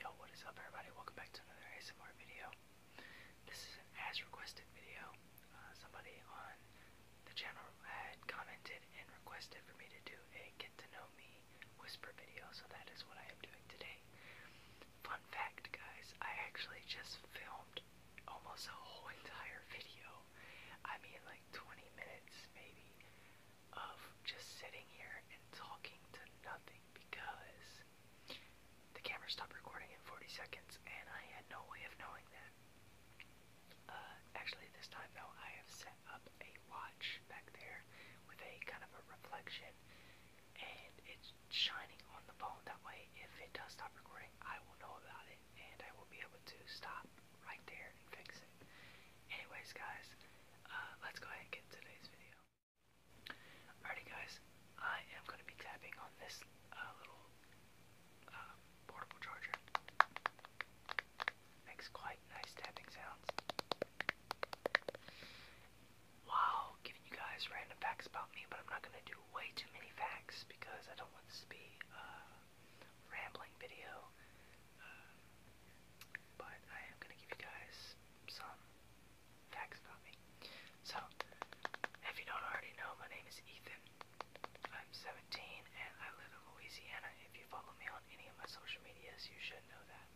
Yo, what is up everybody? Welcome back to another ASMR video. This is an as requested video. Uh, somebody on the channel had commented and requested for me to do a get to know me whisper video, so that is what I am doing today. Fun fact guys, I actually just filmed almost a whole entire video. I mean like 20 minutes maybe of just sitting here and talking to nothing because the camera stopped recording in 40 seconds and I had no way of knowing that. Uh, actually, this time though, I have set up a watch back there with a kind of a reflection and it's shining on the phone. That way, if it does stop recording, I will know about it and I will be able to stop right there and fix it. Anyways, guys, uh, let's go ahead and get today's video. Alrighty guys, I am going to be tapping on this uh, little uh, portable charger. Makes quite nice tapping sounds. Wow, giving you guys random facts about me, but I'm not going to do way too many facts because I don't want this to be a uh, rambling video. but I am going to give you guys some facts about me. So, if you don't already know, my name is Ethan. I'm 17 and I live in Louisiana. If you follow me on any of my social medias, you should know that.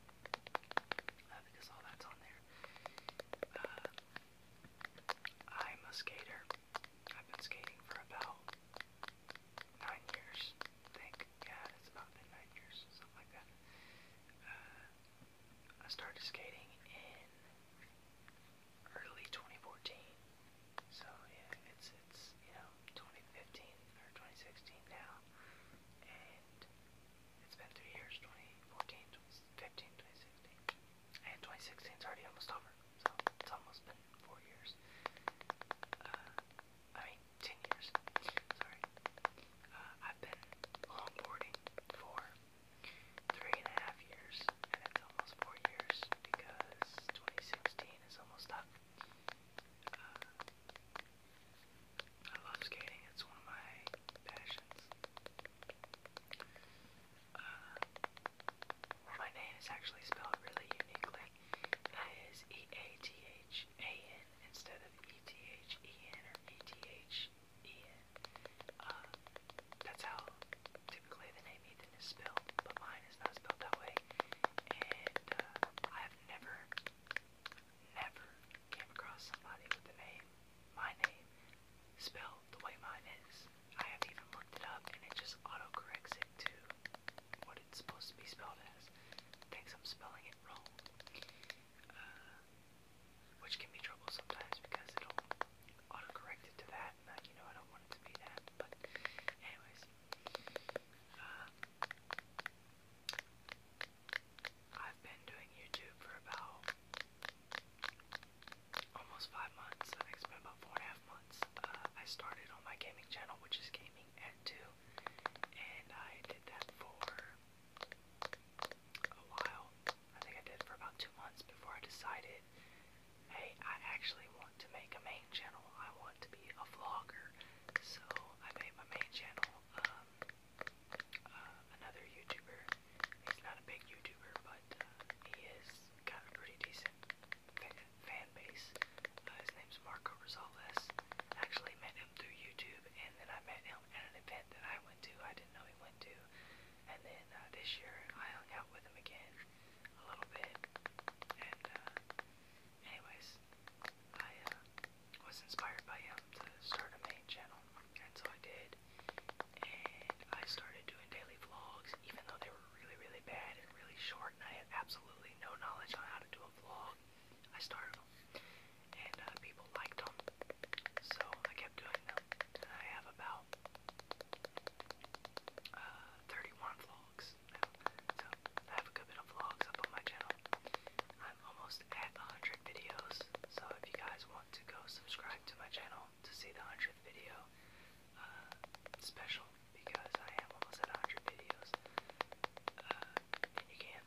Uh, because all that's on there. Uh, I'm a skater. I've been skating for about nine years, I think yeah, it's about midnight or something like that. Uh, I started skating in early 2014. So yeah, it's it's you know 2015 or 2016 now, and it's been three years: 2014, 2015, 2016, and 2016 is already almost over. So it's almost been four years. Uh, I mean, ten years. Sorry. Uh, I've been longboarding for three and a half years, and it's almost four years because 2016 is almost up. Uh, I love skating; it's one of my passions. Uh, my name is actually spelled really uniquely. I is T H A N instead of E-T-H-E-N or E-T-H-E-N. Uh, that's how typically the name Ethan is spelled, but mine is not spelled that way. And uh, I have never, never came across somebody with the name, my name, spelled the way mine is. I have even looked it up and it just auto-corrects it to what it's supposed to be spelled as. Thinks I'm spelling it wrong. Uh, which can be trouble sometimes because it'll autocorrect it to that, you know, I don't want it to be that, but anyways, uh, I've been doing YouTube for about almost five months, I think been about four and a half months, uh, I started on my gaming channel, which is Gaming at 2, and I did that for a while. I think I did for about two months before I decided, hey, I actually want to make a main channel. I want to be a vlogger. So I made my main channel. Um, uh, another YouTuber. He's not a big YouTuber, but uh, he is got a pretty decent fan, base. Uh, his name's Marco Rosales. I actually met him through YouTube, and then I met him at an event that I went to. I didn't know he went to. And then uh, this year, I hung out with him again a little bit. And uh, anyways, I uh, was inspired by him to start a main channel, and so I did. And I started doing daily vlogs, even though they were really, really bad and really short, and I had absolutely no knowledge on how to do a vlog. I started and uh, people liked them, so I kept doing them. I have about uh, 31 vlogs now, so I have a good bit of vlogs up on my channel. I'm almost at 100 videos, so if you guys want to go subscribe to my channel to see the 100th video uh, special, because I am almost at 100 videos, and you can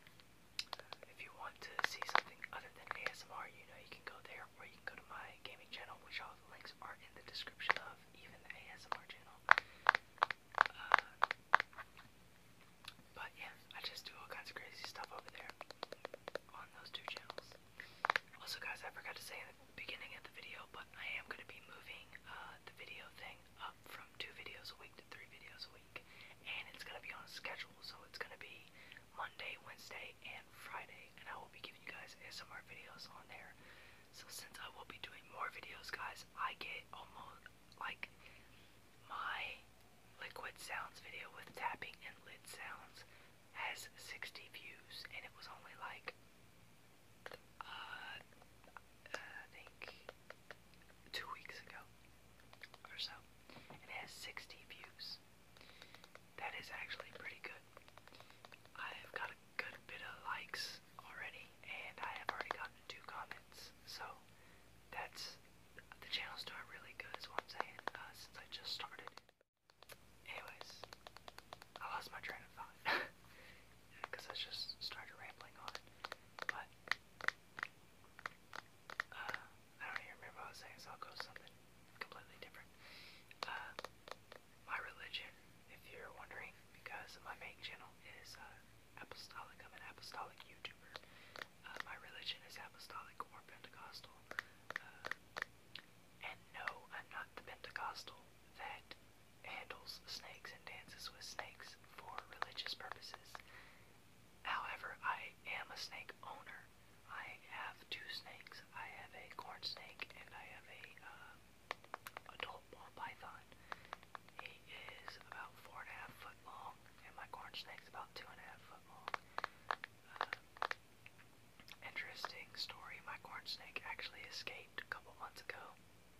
if you want to see something other than ASMR, you know you can go there, or you can go to my gaming channel, which all the links are in the description of, even the ASMR channel. Uh, but yeah, I just do all kinds of crazy stuff over there on those two channels. Also, guys, I forgot to say in the beginning of the video, but I am going to be moving uh, the video thing up from two videos a week to three videos a week and it's going to be on a schedule, so it's going to be Monday, Wednesday, and Friday, and I will be giving you guys ASMR videos on there. So since I will be doing more videos, guys, I get almost, like, my liquid sounds video with tapping and lid sounds has 60 views, and it was only, like, uh, uh, I think two weeks ago or so. It has 60 views. That is actually pretty good. I've got a good bit of likes already, and I have already gotten two comments. So that's the channel's doing really good, is what I'm saying, uh, since I just started. Anyways, I lost my train of thought because I just started rambling on. But uh, I don't even remember what I was saying, so I'll go something completely different. Uh, my religion, if you're wondering, because my main channel is uh, apostolic. I'm an apostolic YouTuber. Uh, my religion is apostolic or Pentecostal. Uh, and no, I'm not the Pentecostal that handles snakes and dances with snakes for religious purposes. However, I am a snake owner. I have two snakes. I have a corn snake and I have a uh, adult ball python. He is about four and a half foot long, and my corn snake's about two and a half foot long. Uh, interesting story. My corn snake actually escaped a couple months ago,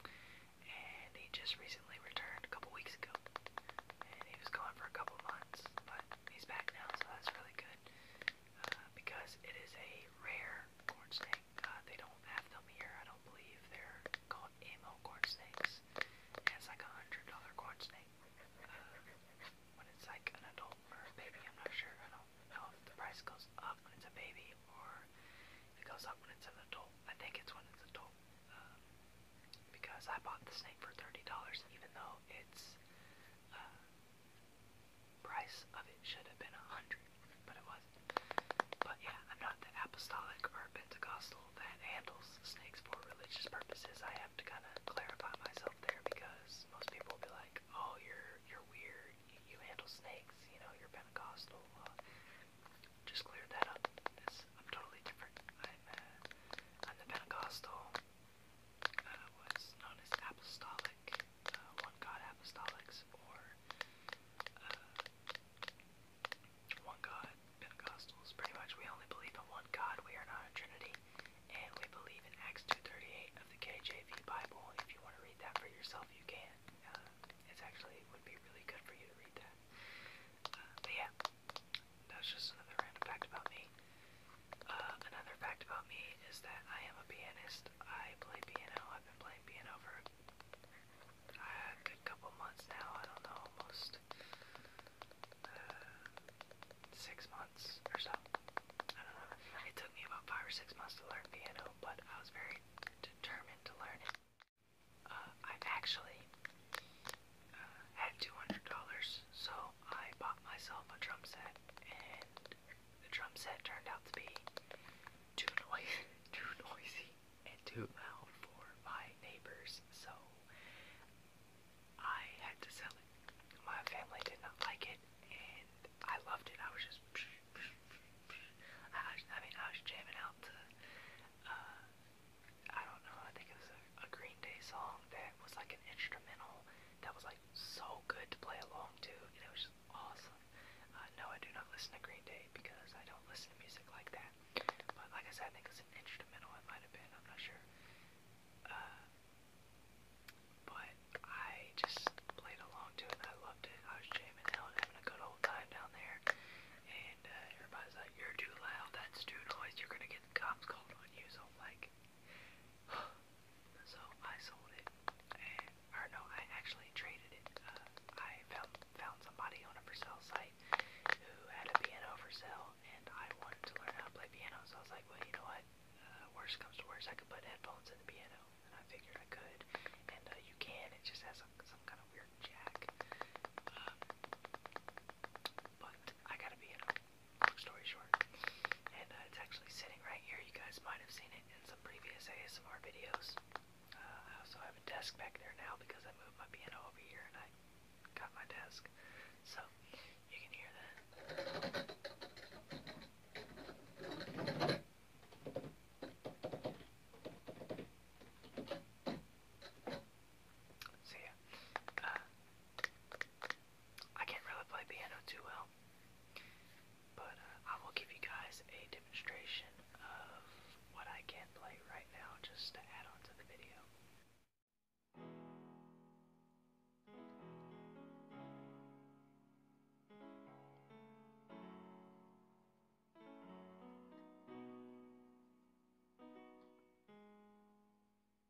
and he just recently returned a couple weeks ago and he was gone for a couple months, but he's back now, so that's really good. Uh, because it is a rare corn snake. Uh, they don't have them here. I don't believe they're called ammo corn snakes. Yeah, it's like a hundred dollar corn snake. Uh, when it's like an adult or a baby, I'm not sure. I don't know if the price goes up when it's a baby or if it goes up when it's an adult. I think it's when it's adult. Um, because I bought the snake for $30 even though its uh, price of it should have been 100 but it was But yeah, I'm not the apostolic or Pentecostal that handles snakes for religious purposes. I have to kind of clarify myself there because most people be like, oh, you're, you're weird, you, handle snakes, you know, you're Pentecostal. just cleared that up. I'm totally different. I'm, the Pentecostal, uh, what's known as Apostolic, uh, One God Apostolics, or uh, One God Pentecostals. Pretty much, we only believe in one God. We are not a Trinity, and we believe in Acts 2:38 of the KJV Bible. If you want to read that for yourself, you can. Uh, it's actually would be really good for you to read that. but yeah, that's just another random fact about me. Uh, another fact about me is that I am a pianist. I play piano. I've been playing piano for a couple months now. I don't know, almost uh, six months or so. I don't know. It took me about five or six months to learn piano, but I was very determined to learn it. Uh, i actually uh, had $200, so I bought myself a drum set, and the drum set turned out to be too noisy, too noisy and too loud for my neighbors, so I had to sell it. My family did not like it, and I loved it. I was just, I, mean, I was jamming out to uh, I don't know, I think it was a, a Green Day song that was like an instrumental that was like so good to play along to, and it was just awesome. Uh, no, I do not listen to Green Day because I don't listen to music like that. But like I said, I think it's an instrumental, it might have been, I'm not sure. Uh, but I just played along to it and I loved it. I was jamming out, having a good old time down there. And uh, everybody's like, you're too loud, that's too noise, you're gonna get the cops called on you, so like, so I sold it, and, or no, I actually traded it, uh, I found, found somebody on a for sale site who had a piano for sale, and I wanted to learn how to play piano, so I was like, well, you know what, uh, worst comes to worst, I could put headphones in the piano, and I figured I could, and, uh, you can, it just has some, some kind of weird jack, um, but I gotta be Long story short. And uh, it's actually sitting right here. You guys might have seen it in some previous ASMR videos. Uh, I also have a desk back there now because I moved my piano over here and I got my desk. So you can hear that. So yeah, uh, I can't really play piano too well, but uh, I will give you guys a demonstration of what I can play right now just to add on to the video.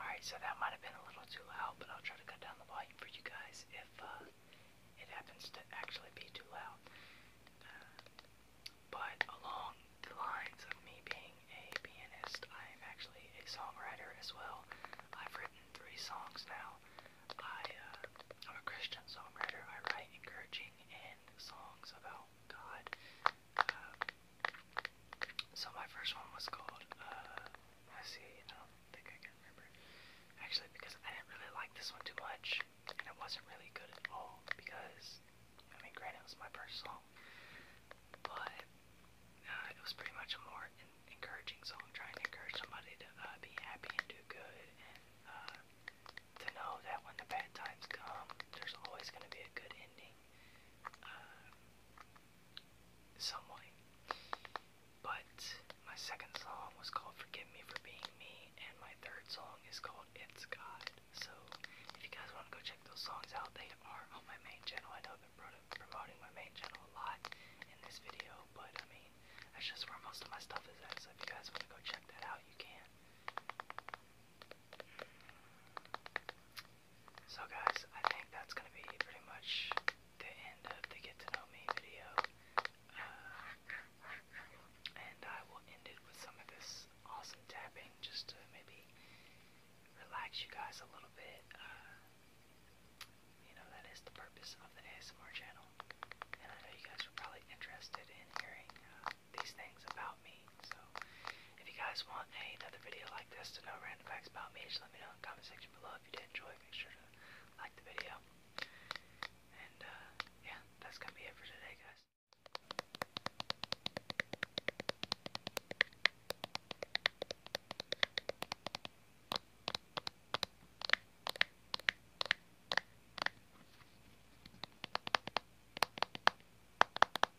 Alright, so that might have been a little too loud, but I'll try to cut down the volume for you guys if uh, it happens to actually be too loud. Uh, but along the lines of me being a pianist, I am actually a songwriter as well. I've written three songs now. I, am uh, a Christian songwriter. I write encouraging and songs about God. So my first one was called, uh, let's see, I don't think I can remember. Actually, because I didn't really like this one too much, and it wasn't really good at all, because, I mean, granted, it was my first song, but uh, it was pretty much a more in encouraging song, trying to encourage somebody to uh, be happy and do good, and uh, to know that when the bad times come, there's always going to be a good ending uh, some way. But my second song was called Forgive Me for Being Me, and my third song is called It's God. So if you guys want to go check those songs out, they are on my main channel. I know they're promoting my main channel a lot in this video, but I mean, that's just where most of my stuff is at. So if you guys want to go check that out, you can. So guys, I think that's going to be pretty much the end of the Get to Know Me video. Uh, and I will end it with some of this awesome tapping just to maybe relax you guys a little bit. Uh, you know, that is the purpose of the ASMR channel. And I know you guys are probably interested in hearing uh, these things about me so, if you guys want another video like this to know random facts about me, just let me know in the comment section below. If you did enjoy, make sure to like the video. And, uh, yeah, that's gonna be it for today, guys.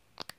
Alrighty guys.